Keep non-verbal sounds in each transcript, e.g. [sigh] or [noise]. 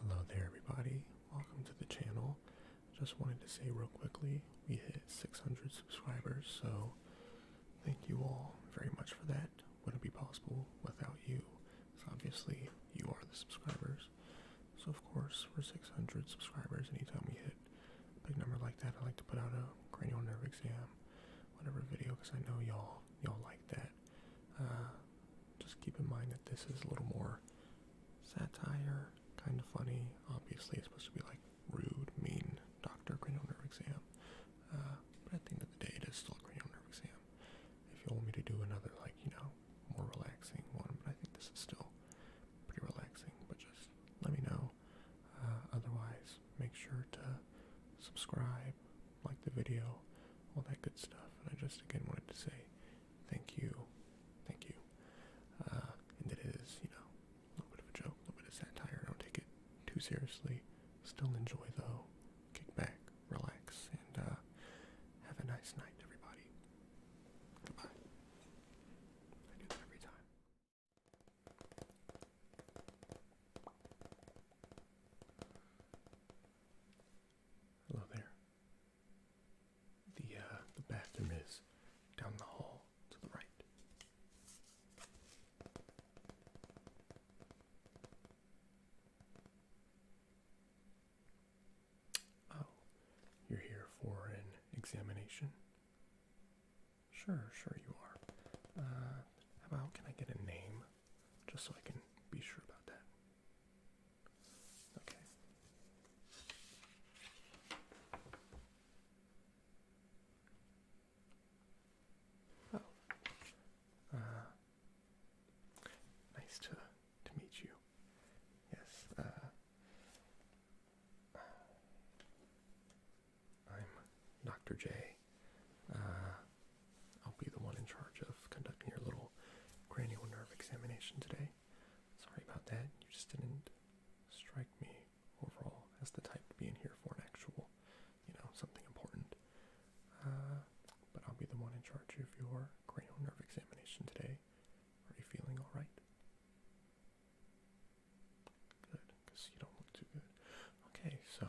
Hello there everybody, welcome to the channel. Just wanted to say real quickly, we hit 600 subscribers, so thank you all very much for that. Wouldn't be possible without you, because obviously you are the subscribers. So of course, for 600 subscribers, anytime we hit a big number like that, I like to put out a cranial nerve exam, whatever video, because I know y'all y'all like that. Uh, just keep in mind that this is a little more satire, kind of funny. Obviously, it's supposed to be like rude, mean doctor cranial nerve exam. Uh, but at the end of the day, it is still a cranial nerve exam. If you want me to do another, like, you know, more relaxing one, but I think this is still pretty relaxing, but just let me know. Uh, otherwise, make sure to subscribe, like the video, all that good stuff. And I just again wanted to say thank you, thank you. Uh, and it is, you know, a little bit of a joke, a little bit of satire. Don't take it too seriously. Still enjoy though. Kick back, relax, and uh, have a nice night, everybody. Goodbye. I do that every time. Hello oh, there. The uh, the bathroom is down the hall to the right. Oh, you're here for an examination? Sure, sure you are. Uh, how about can I get a name? just so I can be sure about that. Okay. Oh. nice to to meet you. Yes. Uh, uh, I'm Dr. J. I'll be the one in charge of conducting your little cranial nerve examination today. Sorry about that. You just didn't strike me overall as the type to be in here for an actual, you know, something important. Uh, but I'll be the one in charge of your cranial nerve examination today. Are you feeling all right? Good, because you don't look too good. Okay, so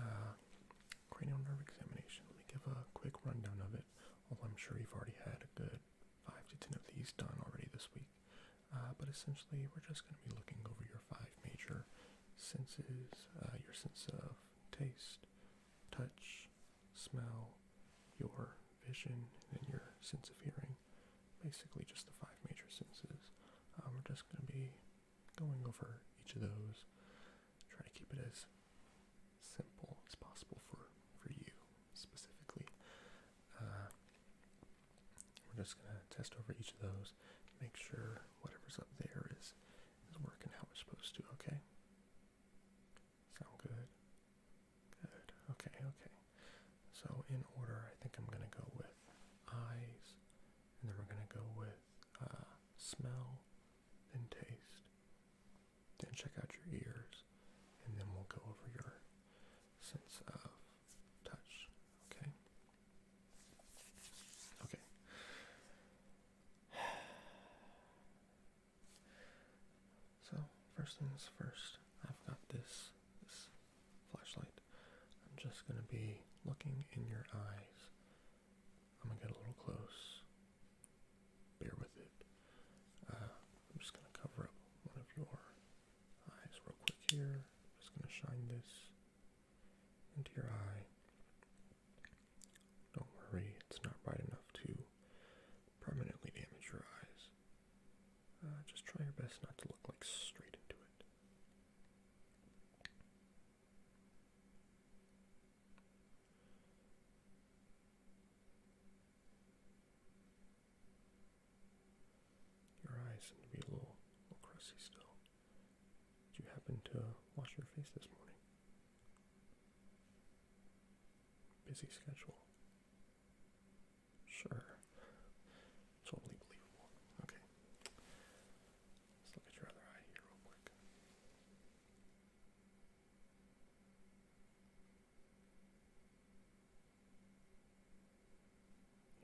uh, cranial nerve examination. Let me give a quick rundown of it, although I'm sure you've already had a good five to ten of these done already this week. Uh, but essentially, we're just going to be looking over your five major senses, uh, your sense of taste, touch, smell, your vision, and your sense of hearing. Basically, just the five major senses. Uh, we're just going to be going over each of those, trying to keep it as simple as possible for for you specifically. Uh, we're just gonna test over each of those, make sure whatever's up there is is working how it's supposed to. Okay. Sound good. Good. Okay. Okay. So in order, I think I'm gonna go with eyes, and then we're gonna go with uh, smell, then taste, then check out your ears, and then we'll go over your sense of touch. Okay. Okay. [sighs] So first things first, I've got this flashlight. I'm just gonna be looking in your eyes I'm gonna get a little close. Bear with it. Uh, I'm just gonna cover up one of your eyes real quick here. I'm just gonna shine this into your eye. Don't worry, it's not bright enough to permanently damage your eyes. Uh, just try your best not to look like straight into it. Your eyes seem to be a little, little crusty still. Did you happen to wash your face this morning? Busy schedule. Sure. Totally believable. Okay. Let's look at your other eye here real quick.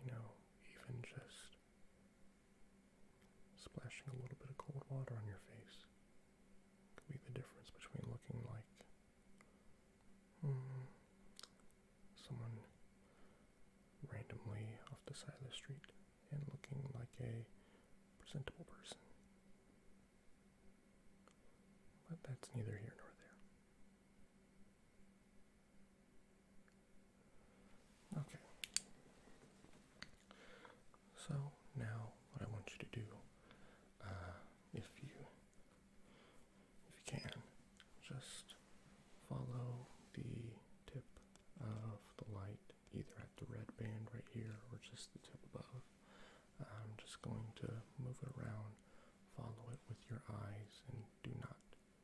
You know, even just splashing a little bit of cold water on your face could be the difference between looking like hmm, someone randomly off the side of the street and looking like a presentable person. But that's neither here nor there. Okay. So now what I want you to do, uh, if you if you can, just follow the tip of the light either at the red band right here or just the tip above. I'm just going to move it around, follow it with your eyes, and do not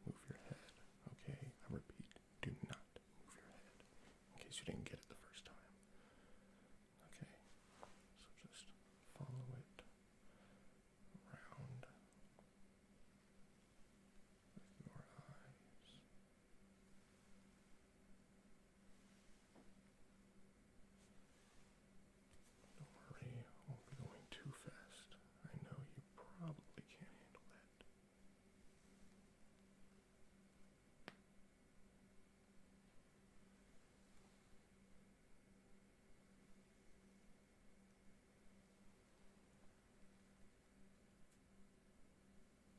move your head. Okay, I repeat, do not move your head in case you didn't get it the first time. Okay, so just follow it around with your eyes. Don't worry, I won't going too fast. I know you probably can't handle that.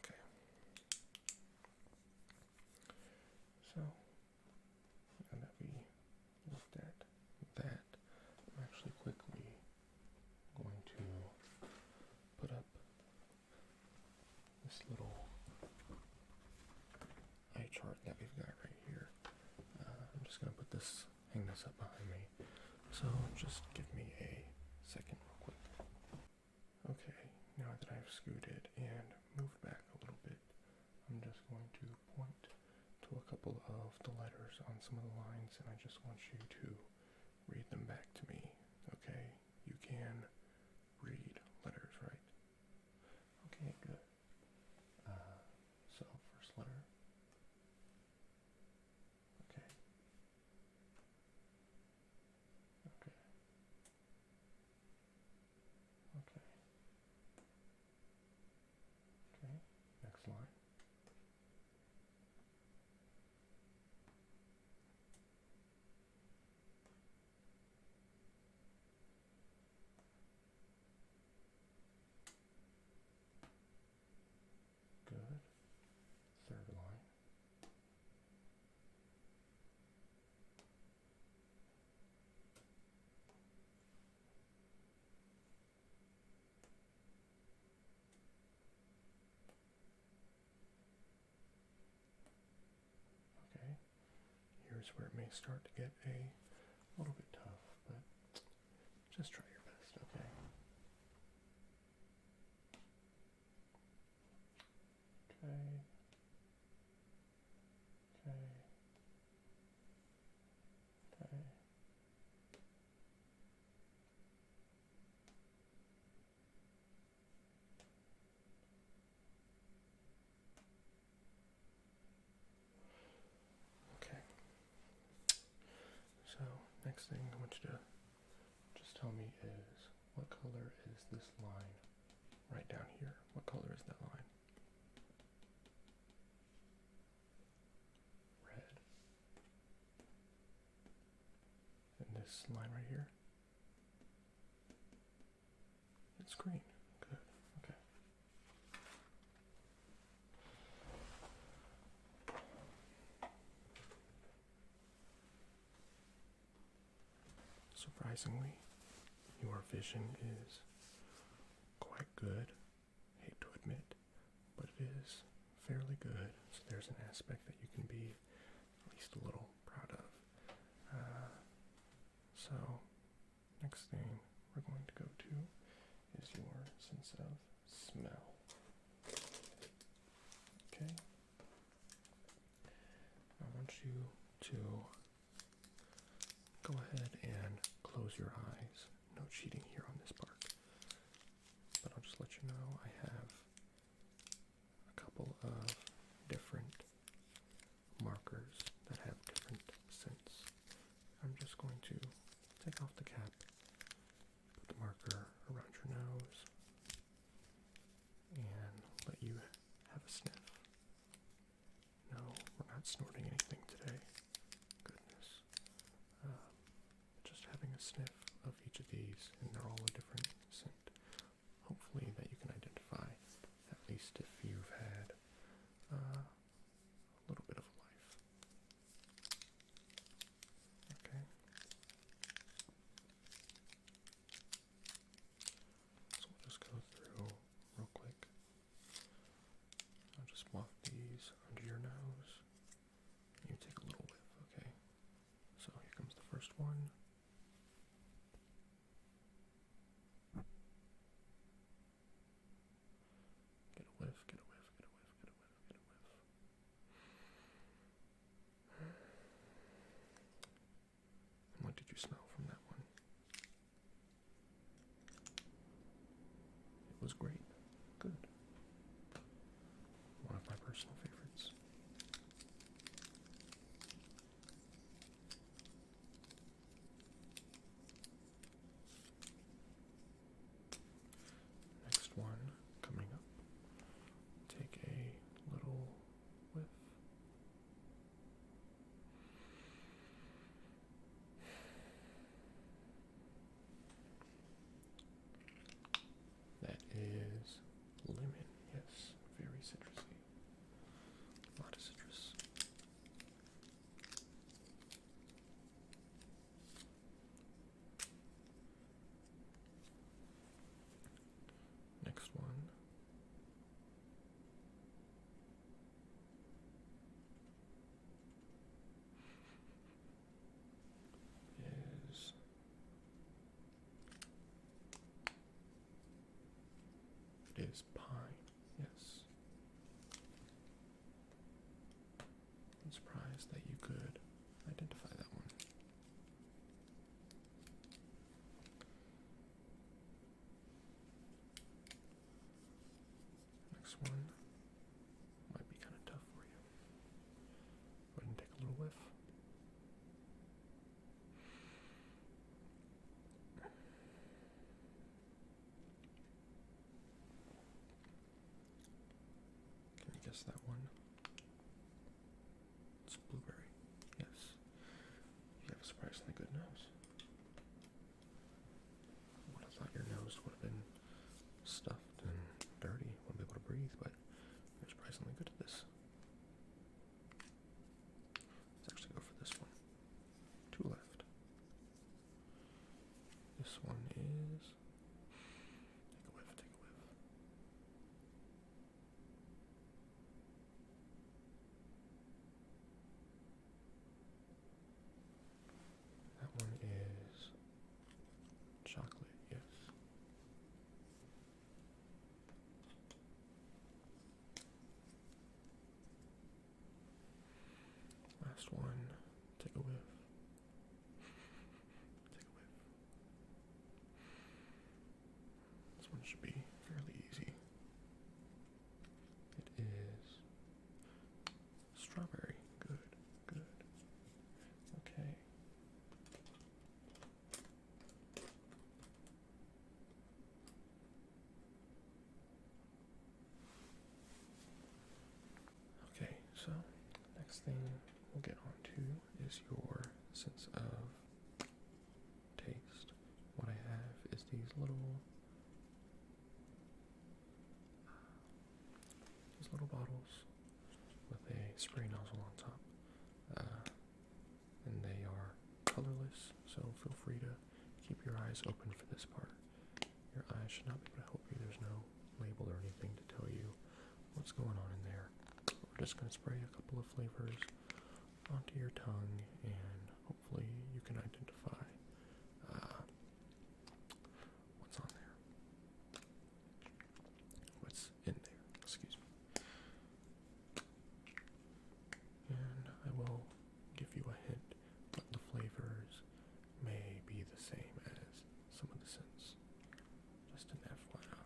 Okay. So, now that we looked at that, I'm actually quickly going to put up this little eye chart that we've got right here. Uh, I'm just going to put this, hang this up behind me. So, just give me a second, real quick. Okay, now that I've scooted and moved back a little bit, I'm just going to point to a couple of the letters on some of the lines and I just want you to read them back to me. Okay, you can read letters, right? Okay, good. Uh, so, first letter. Okay. Okay. Okay. Okay, next line. Good. Third line. Okay, here's where it may start to get a little bit tough, but just try your best, okay? Okay. Okay. Okay. Okay. So next thing I you to just tell me is what color is this line right down here? What color is that line? Red. And this line right here? It's green. Good. Okay. Surprisingly, your vision is quite good. Hate to admit, but it is fairly good. So there's an aspect that you can be at least a little proud of. Uh, so, next thing we're going to go to is your sense of smell. Okay. I want you to go ahead and close your eyes. No cheating here on this part. But I'll just let you know I have a couple of different markers that have different scents. I'm just going to take off the cap, put the marker around your nose, and let you have a sniff. No, we're not snorting anything today. Goodness. Um, just having a sniff of each of these, and they're all a different scent. Hopefully, that you can identify, at least if you've had uh, a little bit of life. Okay. So we'll just go through real quick. I'll just walk these under your nose. You take a little whiff, okay? So here comes the first one. Get a whiff, get a whiff, get a whiff, get a whiff, get a whiff what did you smell from that one? It was great. Good. One of my personal favorites. Next one coming up. Take a little that is lemon, yes, very citrusy. A lot citrus. Next one. Is it is pine, yes. I'm surprised that you could identify that one. Next one might be kind of tough for you. Go ahead and take a little whiff. Can you guess that one? It's blueberry. Yes. You have a surprisingly good nose. I would have thought your nose would have been stuffed and dirty, wouldn't be able to breathe, but there's surprisingly good at this. Let's actually go for this one. Two left. This one is. Take a whiff, take a whiff. That one is chocolate, yes. Last one, take a whiff. take a whiff. This one should be fairly easy. It is strawberry. Good, good. Okay. Okay, so next thing we'll get on to is your sense of taste. What I have is these little these little bottles with a spray nozzle on top. Uh, and they are colorless, so feel free to keep your eyes open for this part. Your eyes should not be able to help you. There's no label or anything to tell you what's going on in there. We're just going to spray a couple of flavors onto your tongue, and hopefully, you can identify uh, what's on there. What's in there, excuse me. And I will give you a hint, but the flavors may be the same as some of the scents is. Just an FYI.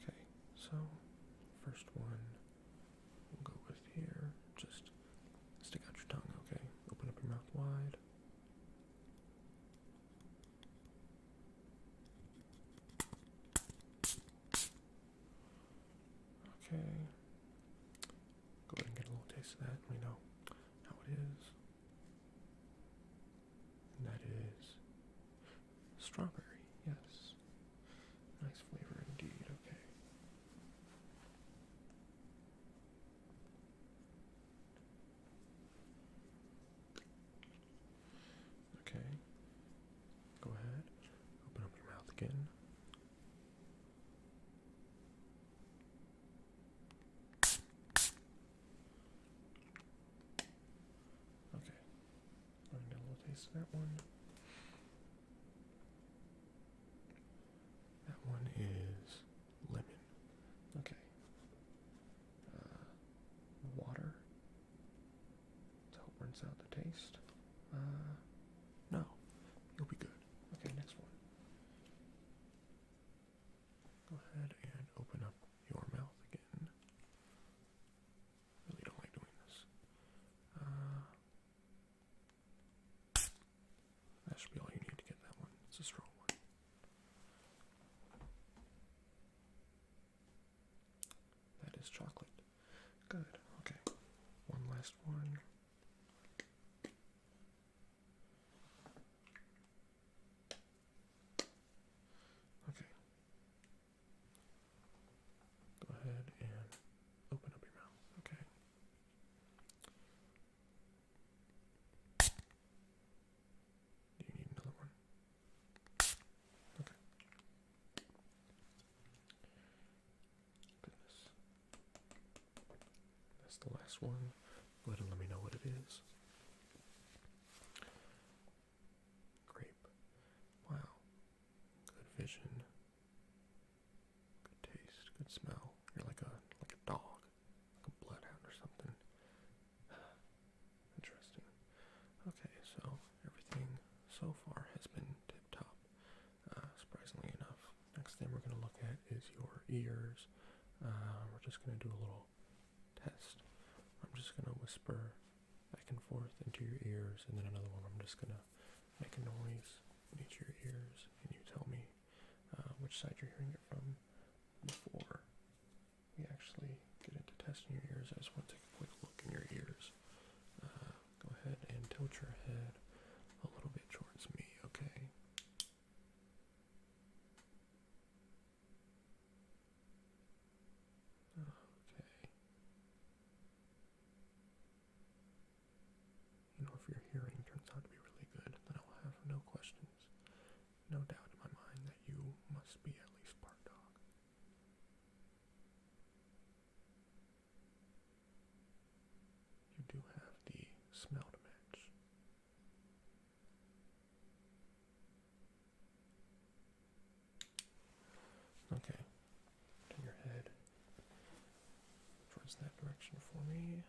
Okay, so first one we'll go with here. Just stick out your tongue, okay? Open up your mouth wide. Okay. Go ahead and get a little taste of that. We know how it is that is strawberry, yes. Nice flavor indeed, okay. Okay. Go ahead. Open up your mouth again. Okay. I'm get a little taste of that one. That one is lemon. Okay. Uh, water to help rinse out the taste. Uh, no, you'll be good. Okay, next one. Go ahead and open up your mouth again. Really don't like doing this. Uh, that should be all you need to get that one. It's a strong one. That is chocolate. Good. Okay. One last one. Okay. Go ahead and open up your mouth, okay? Do you need another one? Okay. Goodness. That's the last one. Go ahead and let me know what it is. Grape. Wow. Good vision. Good taste. Good smell. You're like a like a dog. Like a bloodhound or something. [sighs] Interesting. Okay, so everything so far has been tip top. Uh, surprisingly enough. Next thing we're gonna look at is your ears. Uh, we're just gonna do a little test. I'm just going to whisper back and forth into your ears, and then another one. I'm just going to make a noise into your ears, and you tell me uh, which side you're hearing it from before we actually get into testing your ears. I just want to take a quick look in your ears. Uh, go ahead and tilt your head a little bit towards me, okay? Okay. You know, if your hearing turns out to be really good, then I will have no questions, no doubt in my mind that you must be at least part dog. You do have the smell to match. Okay, turn your head towards that direction for me.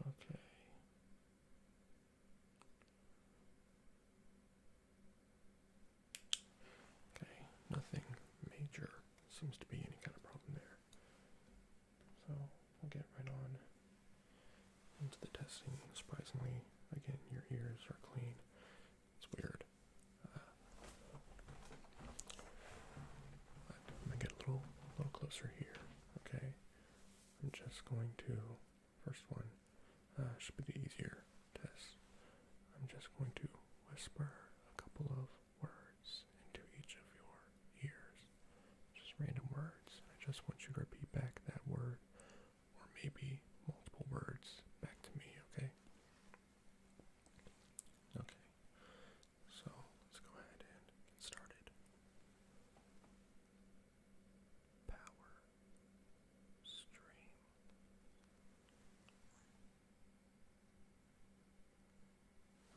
Okay. Okay, nothing major seems to be any kind of problem there. So we'll get right on into the testing. Surprisingly, again, your ears are clean. It's weird. Uh, but I'm gonna get a little, little closer here. Okay, I'm just going to first one uh, should be the easier. I'm just going to whisper a couple of words into each of your ears. Just random words. I just want you to repeat back that word, or maybe multiple words back to me, okay? Okay. So let's go ahead and get started. Power stream.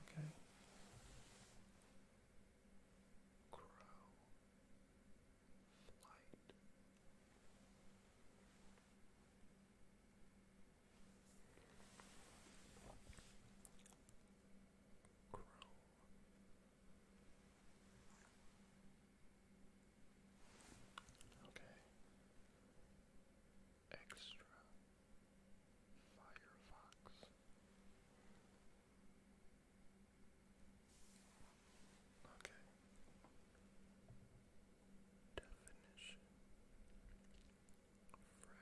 Okay. Grow light. Grow Okay. Extra Firefox. Okay. Definition fresh. Good.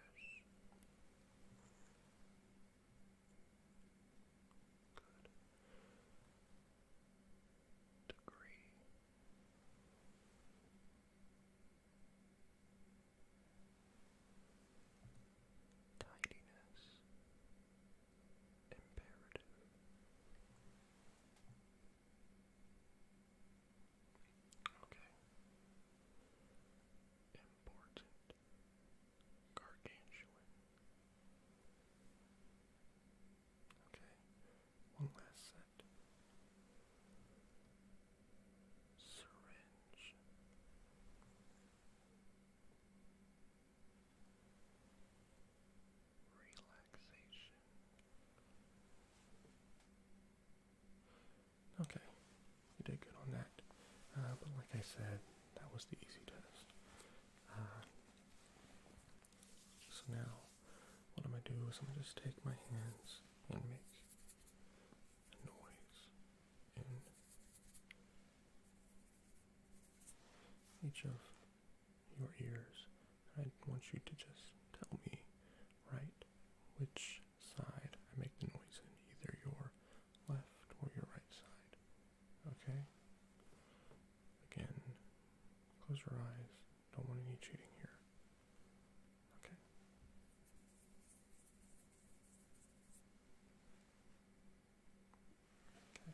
Degree Tidiness imperative. Okay. Important. Gargantuan. Okay, one last set. Syringe. Relaxation. Okay, you did good on that. Uh, but like I said, that was the easy test. Uh, so now, what I'm going to do is I'm going to just take my hands and make a noise in each of your ears. I want you to just tell me, right, which side I make the noise in, either your left or your right side. Okay? Again, close your eyes. Don't want any cheating here. Okay. Okay.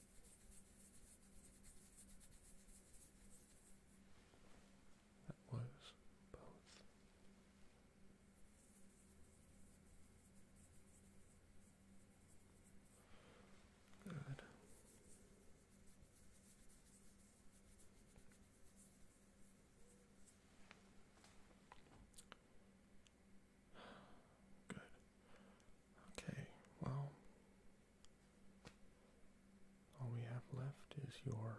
That was both. Good. Good. Okay, well, all we have left is your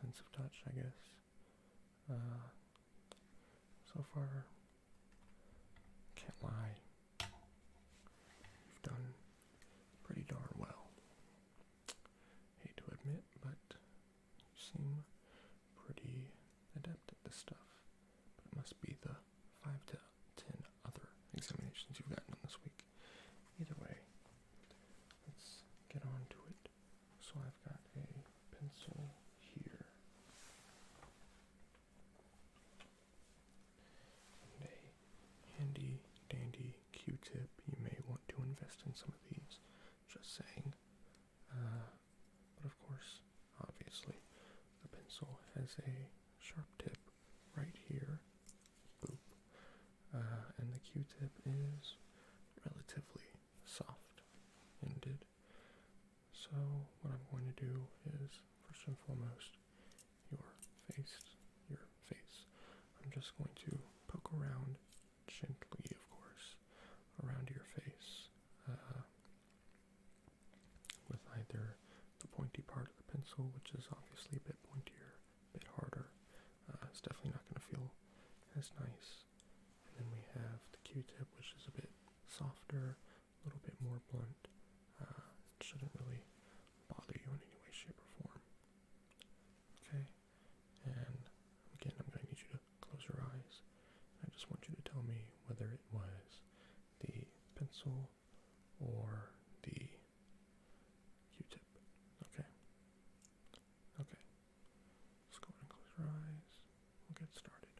sense of touch, I guess. Uh, so far, can't lie, you've done pretty darn well. Hate to admit, but you seem pretty adept at this stuff. it must be the five to ten other examinations you've gotten on this week. Either way, let's get on it. So I've got a pencil here and a handy dandy Q-tip. You may want to invest in some of these. Just saying. Uh, but of course, obviously, the pencil has a sharp tip right here. Boop. Uh, and the Q-tip is relatively soft ended. So what I'm going to do is first and foremost your face, your face. I'm just going to poke around gently, of course, around your face. Uh, with either the pointy part of the pencil, which is obviously a bit pointier, a bit harder. Uh, it's definitely not going to feel as nice. And then we have the Q-tip, which is a bit softer, a little bit more blunt. Uh, it shouldn't really bother you in any way, shape, or form. Okay, and again, I'm going to need you to close your eyes. I just want you to tell me whether it was the pencil or the Q-tip. Okay. Okay. Let's go ahead and close your eyes. We'll get started.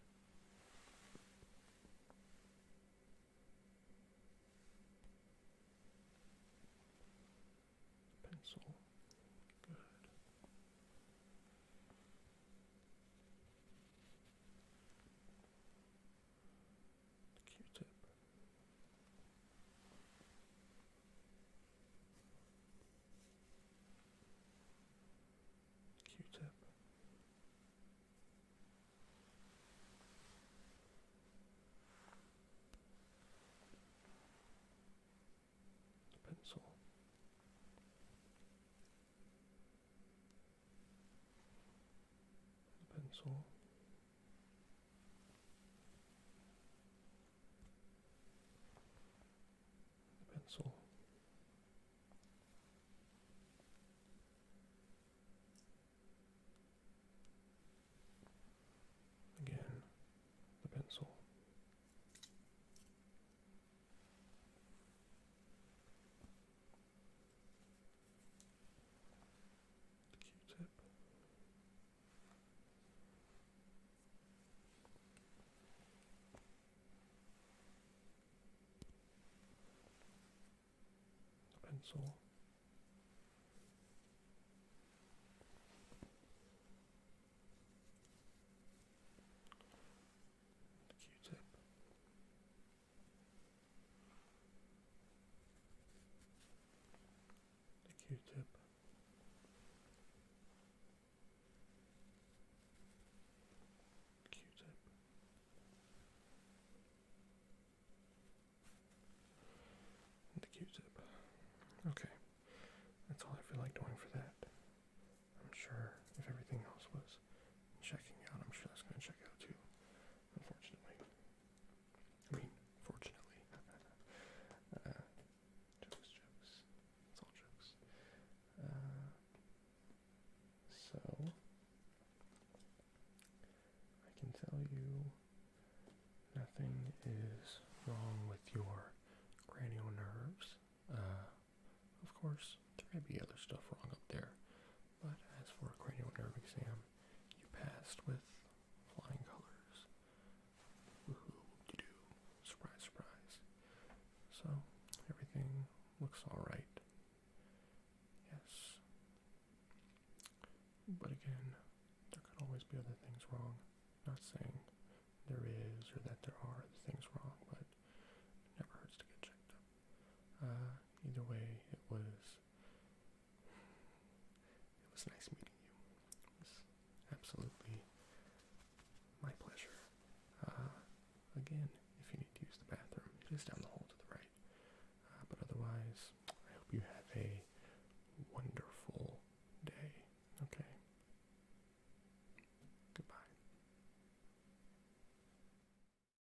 Pencil. Good. Q-tip. Q-tip. Pencil pencil. pencil. Again, the pencil. Q-tip. Pencil. Q-tip the q-tip q-tip the q-tip okay that's all I feel like doing for that I'm sure if everything else was checking out I'm sure that's gonna check out too unfortunately. I mean, fortunately. Uh, jokes, jokes. It's all jokes. Uh, so, I can tell you nothing is wrong with your cranial nerves. Uh, of course, there may be other stuff wrong up there, but as for a cranial nerve exam, you passed with flying colors. Woohoo, you do. Surprise, surprise. So, everything looks alright. Yes. But again, there could always be other things wrong. Not saying there is or that there are things wrong, but it never hurts to get checked up. Uh, either way, it was it was nice meeting you. absolutely my pleasure. Uh, again, if you need to use the bathroom, it is down the hall to the right. Uh, but otherwise, I hope you have a wonderful day. Okay? Goodbye.